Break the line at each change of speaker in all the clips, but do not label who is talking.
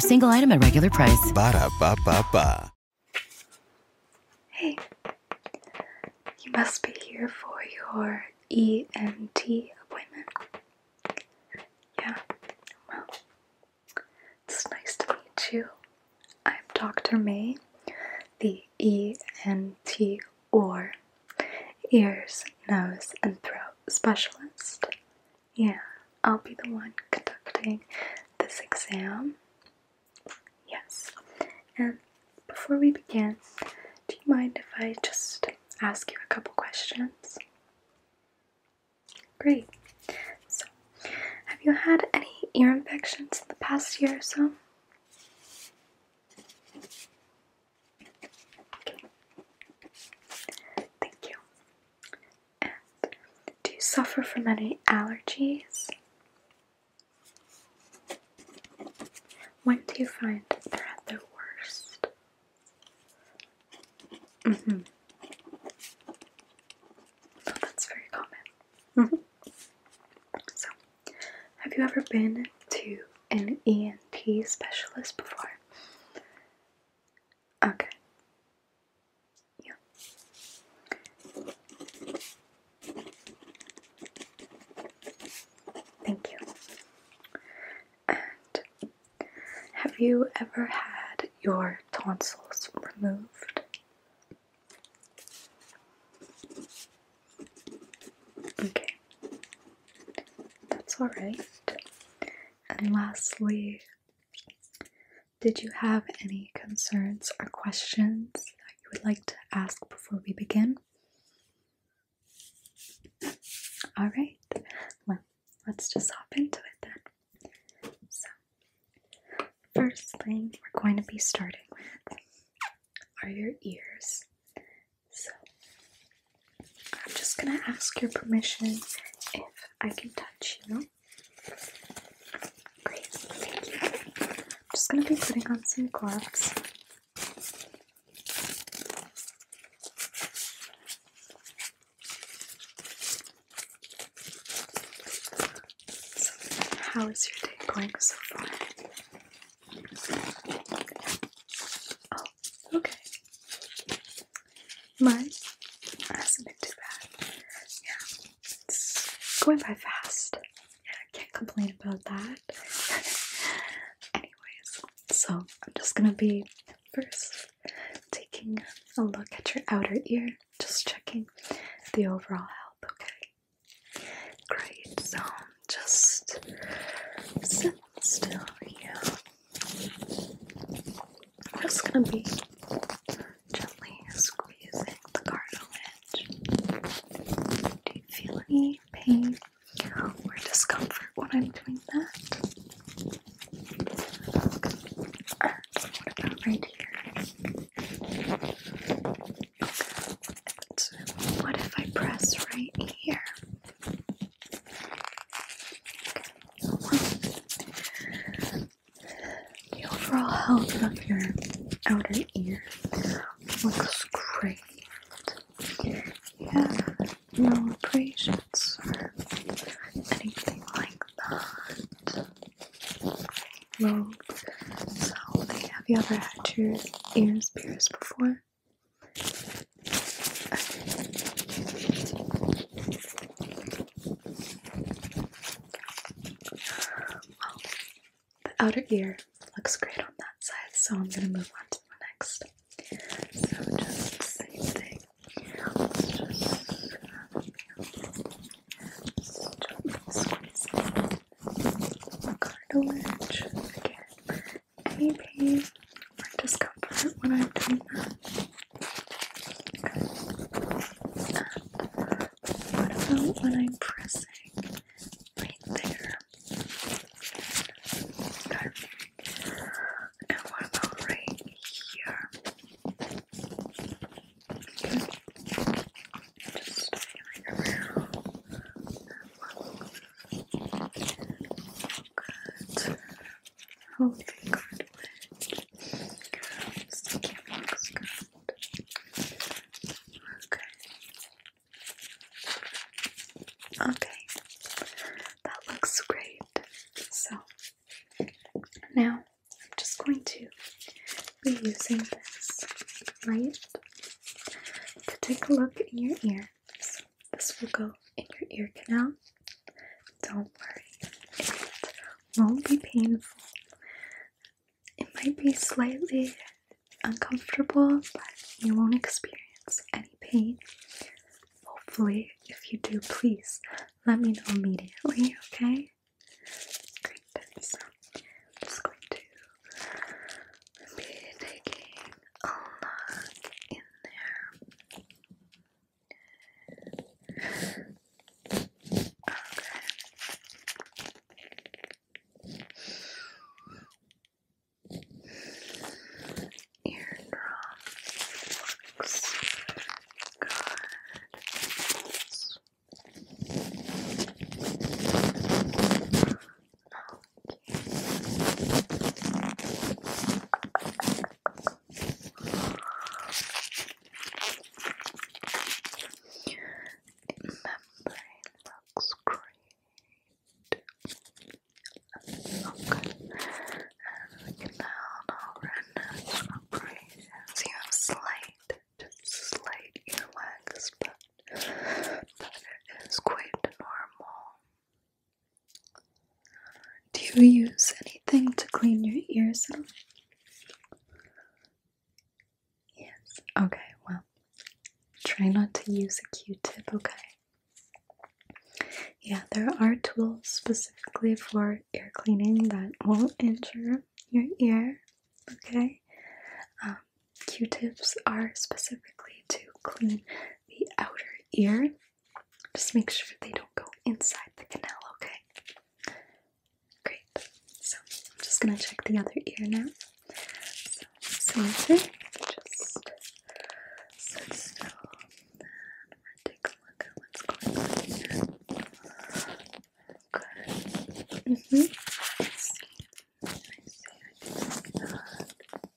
single item at regular price.
Ba da ba ba ba.
Hey, you must be here for your ENT appointment. Yeah, well, it's nice to meet you. I'm Dr. May, the ENT or ears, nose, and throat specialist yeah, I'll be the one conducting this exam. Yes. And before we begin, do you mind if I just ask you a couple questions? Great. So, have you had any ear infections in the past year or so? Thank you. do you suffer from any allergies? When do you find they're at their worst? Mm hmm. that's very common. -hmm. So, have you ever been to an ENT specialist before? Okay. Yeah. Thank you. And have you ever had your tonsils removed? Okay. That's all right. And lastly, did you have any concerns or questions that you would like to ask before we begin? All right, well, let's just hop into it then. So, first thing we're going to be starting with are your ears. So I'm just gonna ask your permission if I can touch you. Great, thank you. I'm just gonna be putting on some gloves. So, how is your day going so far? Oh, okay. Mas hasn't been too bad. Yeah, it's going by fast. Yeah, I can't complain about that. Anyways, so I'm just gonna be first taking a look at your outer ear, just checking the overall health, okay? Great, so just sit still, yeah. I'm just gonna be gently squeezing the cartilage. Do you feel any pain or discomfort when I'm doing that?
what about right here? what if I press right here? The overall health of your outer ear looks great. Yeah, no abrasions anything like that.
So, have you ever had your ears pierced before? Well, the outer ear looks great on that side, so I'm going to move on to the next. So just Let's just,
squeeze it. Cartilage again any pain or discomfort when I'm doing that? what about when I'm pressing right there? And what about right here? Just feeling around. Good. Okay.
Okay. That looks great. So, now I'm just going to be using this light to take a look in your ear this will go in your ear canal. Don't worry, it won't be painful. It might be slightly uncomfortable, but you won't experience any pain. Hopefully, if you do, please let me know immediately, okay? Great, so I'm just going to be taking a lot in there. Okay. Eardrum good
membrane looks uh, great. Okay. And we can down our redness operations. You have slight, slight earwax, but that
is quite normal. Do you use anything to clean your ears Yes. Okay, well, try not to use a q tip, okay? Yeah, there are tools specifically for ear cleaning that won't injure your ear, okay? Um, q tips are specifically to clean the outer ear. Just make sure they don't go inside the canal, okay? Great. So I'm just gonna check the other ear now. So same thing. Just sit still. And take a look at what's going on here. Mm-hmm.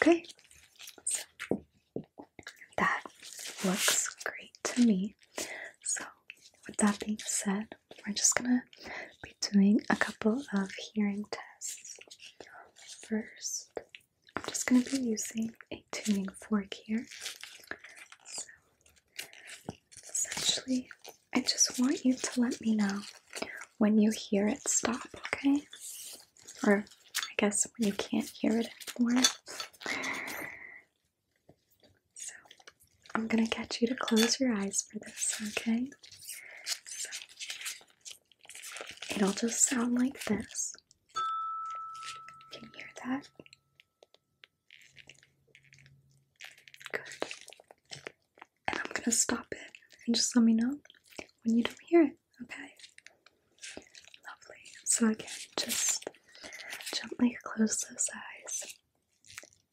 Okay. that looks great to me. So with that being said, we're just gonna be doing a couple of hearing tests. First, I'm just going to be using a tuning fork here. So, essentially, I just want you to let me know when you hear it stop, okay? Or I guess when you can't hear it anymore. So, I'm going to get you to close your eyes for this, okay? it'll just sound like this. Can you hear that? Good. And I'm gonna stop it and just let me know when you don't hear it, okay? Lovely. So again, just gently close those eyes.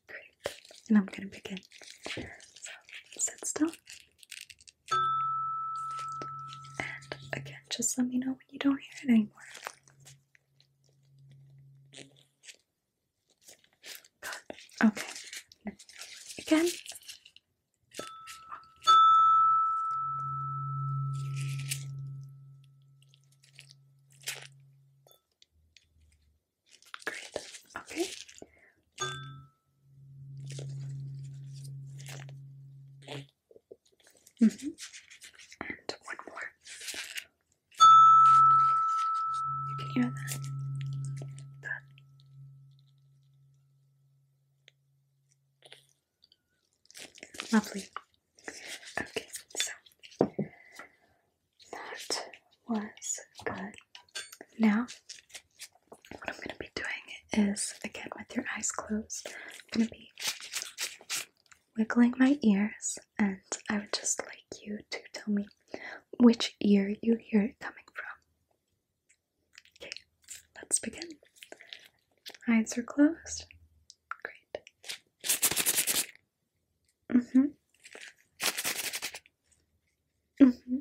Great. And I'm gonna begin. So sit still. And again, just let me know you don't hear it anymore.
Okay. Again. Great. Okay.
Mm -hmm. And one more. You can hear that. Lovely. Okay, so that was good. Now, what I'm going to be doing is, again, with your eyes closed, I'm going to be wiggling my ears, and I would just like you to tell me which ear you hear it coming from. Okay, let's begin. Eyes are closed. Great. Mm hmm. Mm hmm.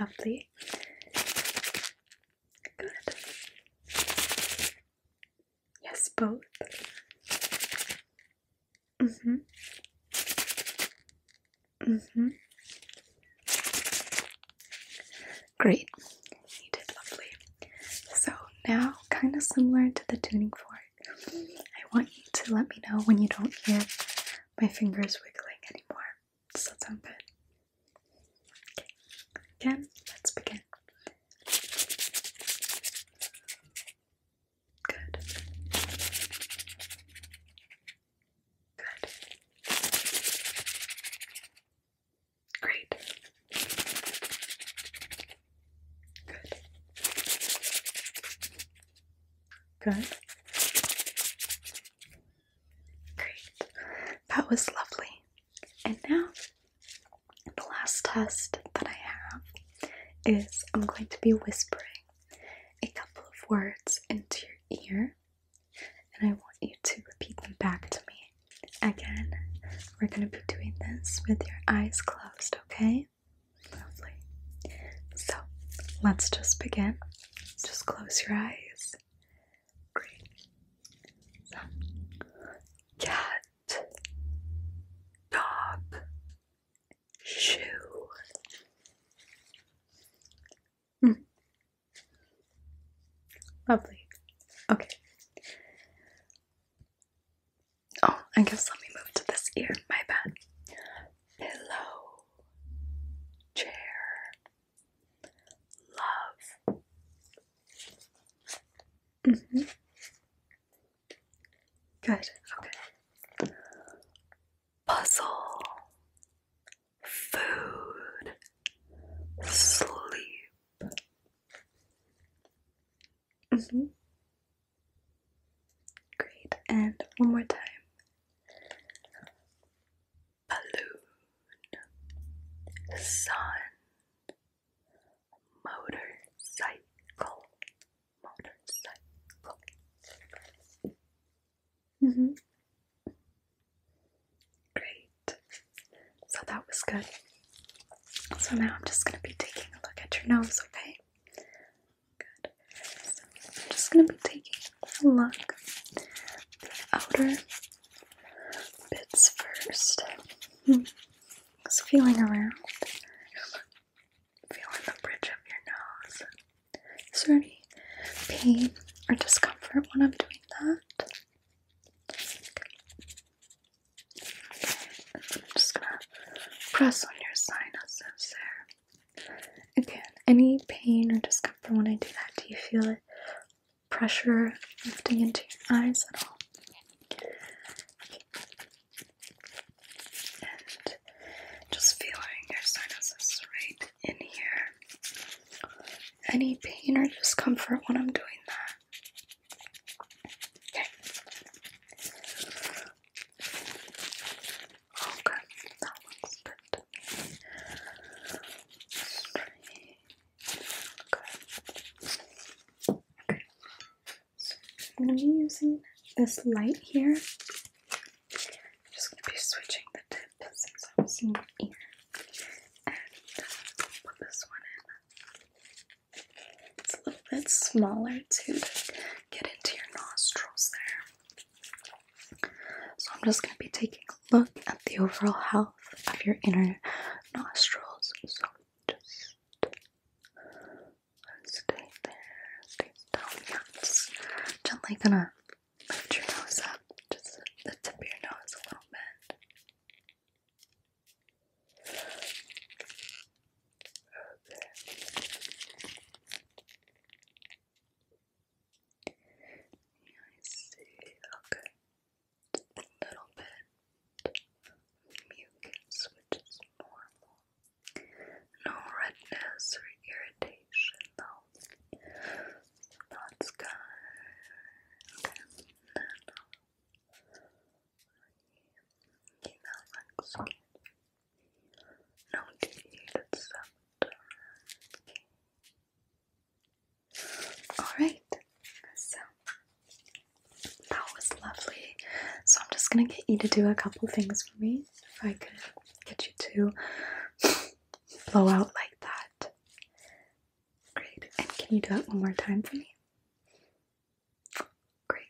Lovely. Good. Yes, both. Mm-hmm. Mm-hmm. Great. You did lovely. So now, kind of similar to the tuning fork, I want you to let me know when you don't hear my fingers wiggling anymore. Does that sound good? Okay. Again, let's begin. Good.
Good. Great.
Good. Good. Great. That was lovely. And now, the last test that I have is I'm going to be whispering a couple of words into your ear, and I want you to repeat them back to me. Again, we're going to be doing this with your eyes closed, okay? Lovely. So, let's just begin. Just close your eyes green,
cat, dog, shoe. Hmm. Lovely. Okay. Oh, I guess let me move to this ear. My bad. Pillow, chair, Love.
Mm-hmm. Good. Okay.
Puzzle. Food.
Sleep. Mm-hmm. Great. And one more time
balloon, sun, motorcycle,
motorcycle. -hmm. Great. So that was good. So now I'm just going to be taking a look at your nose, okay? Good. I'm just going to be taking a look at the outer bits first. Hmm. Just feeling around, feeling the bridge of your nose. Is there any pain or discomfort when I'm doing that? I'm just gonna press on your
sinuses there.
Again, any pain or discomfort when I do that, do you feel it? Pressure lifting into your eyes at all? And just feeling your sinuses right in here. Any pain or discomfort when I'm doing that? Okay. Okay, that looks good to me. Okay. So I'm gonna be using this light here. I'm just gonna be switching the tip since I was in the And uh, put this one in. It's a little bit smaller to get into your nostrils there. So I'm just going to be taking a look at the overall health of your inner nostrils. So just
stay there, stay down. gently gonna lift your nose up, just the tip of your nose a little bit. Okay. Yeah, I see. Okay. A little bit of which is normal. No redness or irritation, though. That's good. Okay. Then,
you know, like No teeth, except Alright, so that was lovely. So I'm just gonna get you to do a couple things for me. If I could get you to blow out like that. Great. And can you do it one more time for me? Great.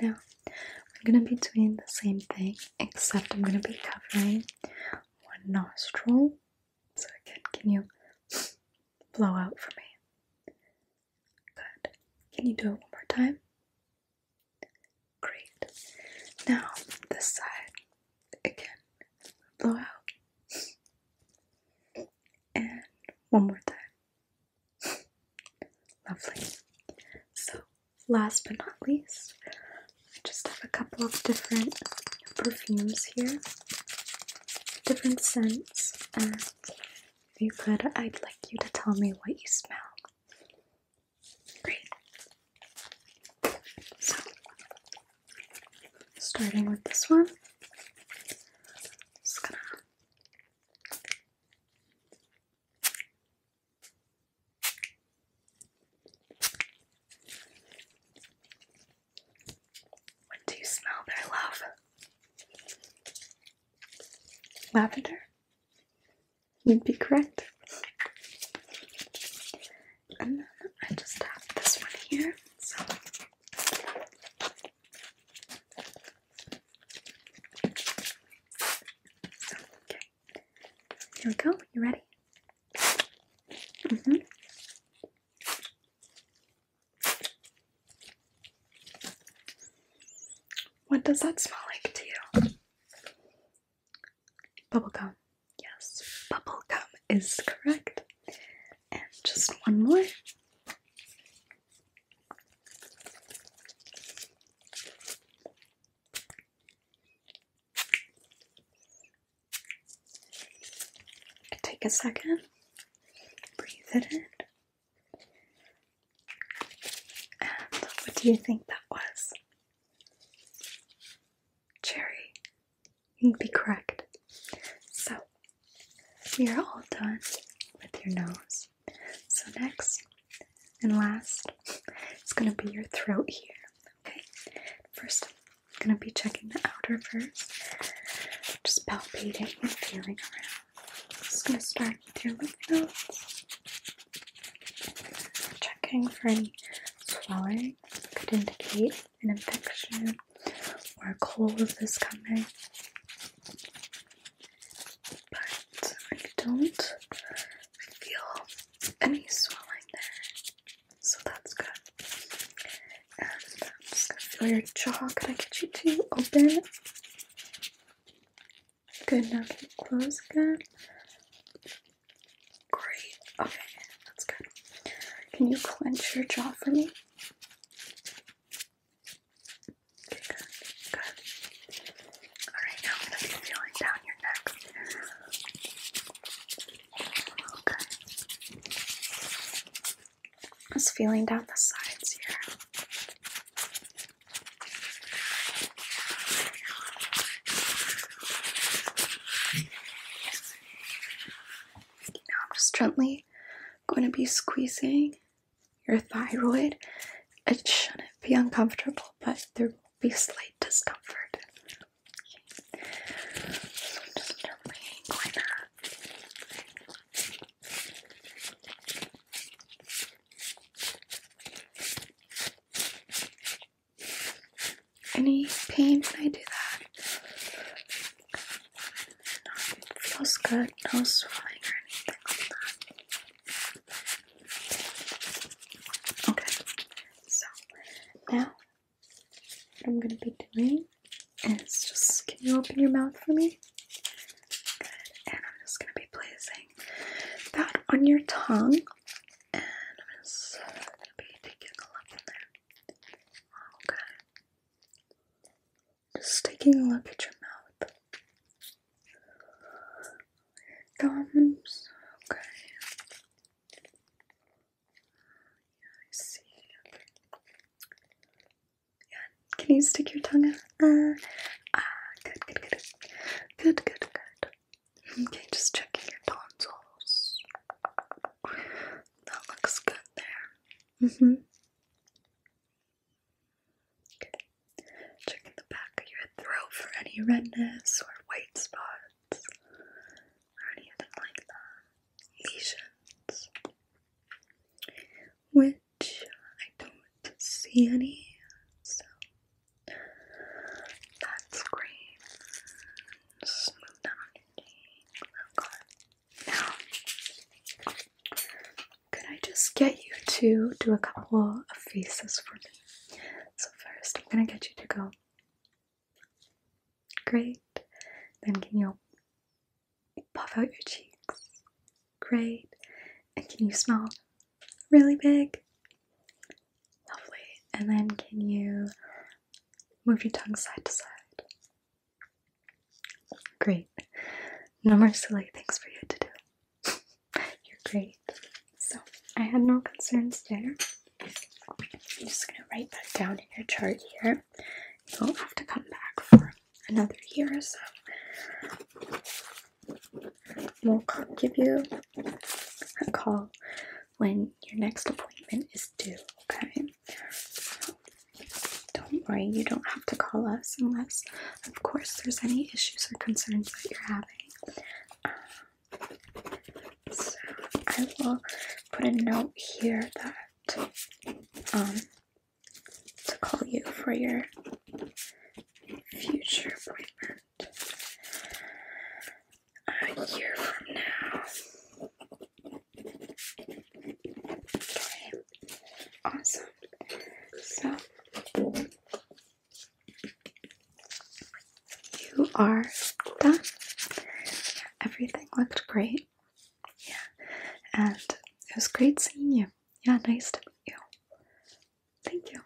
Now I'm gonna be doing the same thing, except I'm gonna be covering one nostril. So again, can you blow out for me? Good. Can you do it one more time? Great. Now this side again. Blow out. And one more
time.
Lovely. So last but not least, I just have a couple of different perfumes here, different scents, and if you could, I'd like you to tell me what you smell. Great. So, starting with
this one, just gonna what do you smell that love?
Lavender? You'd be correct. And then I just have this one here. so, okay. Here we go. You ready? hmm What does that smell like to you? Bubble gum. Yes, Bubble gum is correct. And just one more. Take a second, breathe it in. And what do you think that was? Cherry. You'd be correct. So, we are all done with your nose. So, next, and last, it's gonna be your throat here. Okay. First, I'm gonna be checking the outer first. Just palpating and feeling around. Just gonna start with your lymph nodes. Checking for any swelling could indicate an infection or a cold is coming. But I don't
feel any swelling there, so that's good.
And I'm just gonna feel your jaw. Can I get you to open? Good. Now can you close again? Great. Okay, that's good. Can you clench your jaw for me?
good. Good. Alright, now I'm going to be feeling down your neck.
Okay. Just feeling down the sides here. Now I'm just gently going to be squeezing your thyroid. It shouldn't be uncomfortable, but there be slight discomfort.
Any pain when I do that? feels good. No swelling or anything like that. Okay, so
now what I'm gonna be doing is just can you open your mouth for me? Good, and I'm just gonna be placing that on your tongue, and I'm just gonna be taking a look in there. Okay, oh, just taking a
look at your mouth thumbs. Okay.
I see. Yeah. Can you stick your tongue out? Uh, ah, good, good, good, good, good, good. Okay, just checking your
tonsils. That looks good there. Mhm. okay. Checking the back of your throat for
any redness or white spots or anything like that. Which I don't see any, so that's great. Smooth down your oh Now, could I just get you to do a couple of faces for me? So, first, I'm gonna get you to go. Great. Then, can you puff out your cheeks? Great. And can you smile really big? Lovely. And then, can you move your tongue side to side? Great. No more silly things for you to do. You're great. So I had no concerns there. I'm just gonna write that down in your chart here. You'll have to come back for another year or so. We'll give you a call when your next appointment is due, okay? don't worry, you don't have to call us unless, of course, there's any issues or concerns that you're um, so I will put a note here that um, to call you for your
future appointment a year from now. Okay. Awesome. So
you are done. Everything looked great. Yeah. And it was great seeing you. Yeah, nice to meet you. Thank you.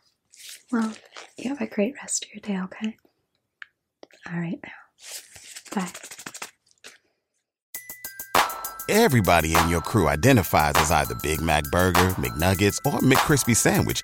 Well, you have a great rest of your day, okay? Alright Bye. Everybody in your crew identifies as either Big Mac Burger, McNuggets, or McKrispy Sandwich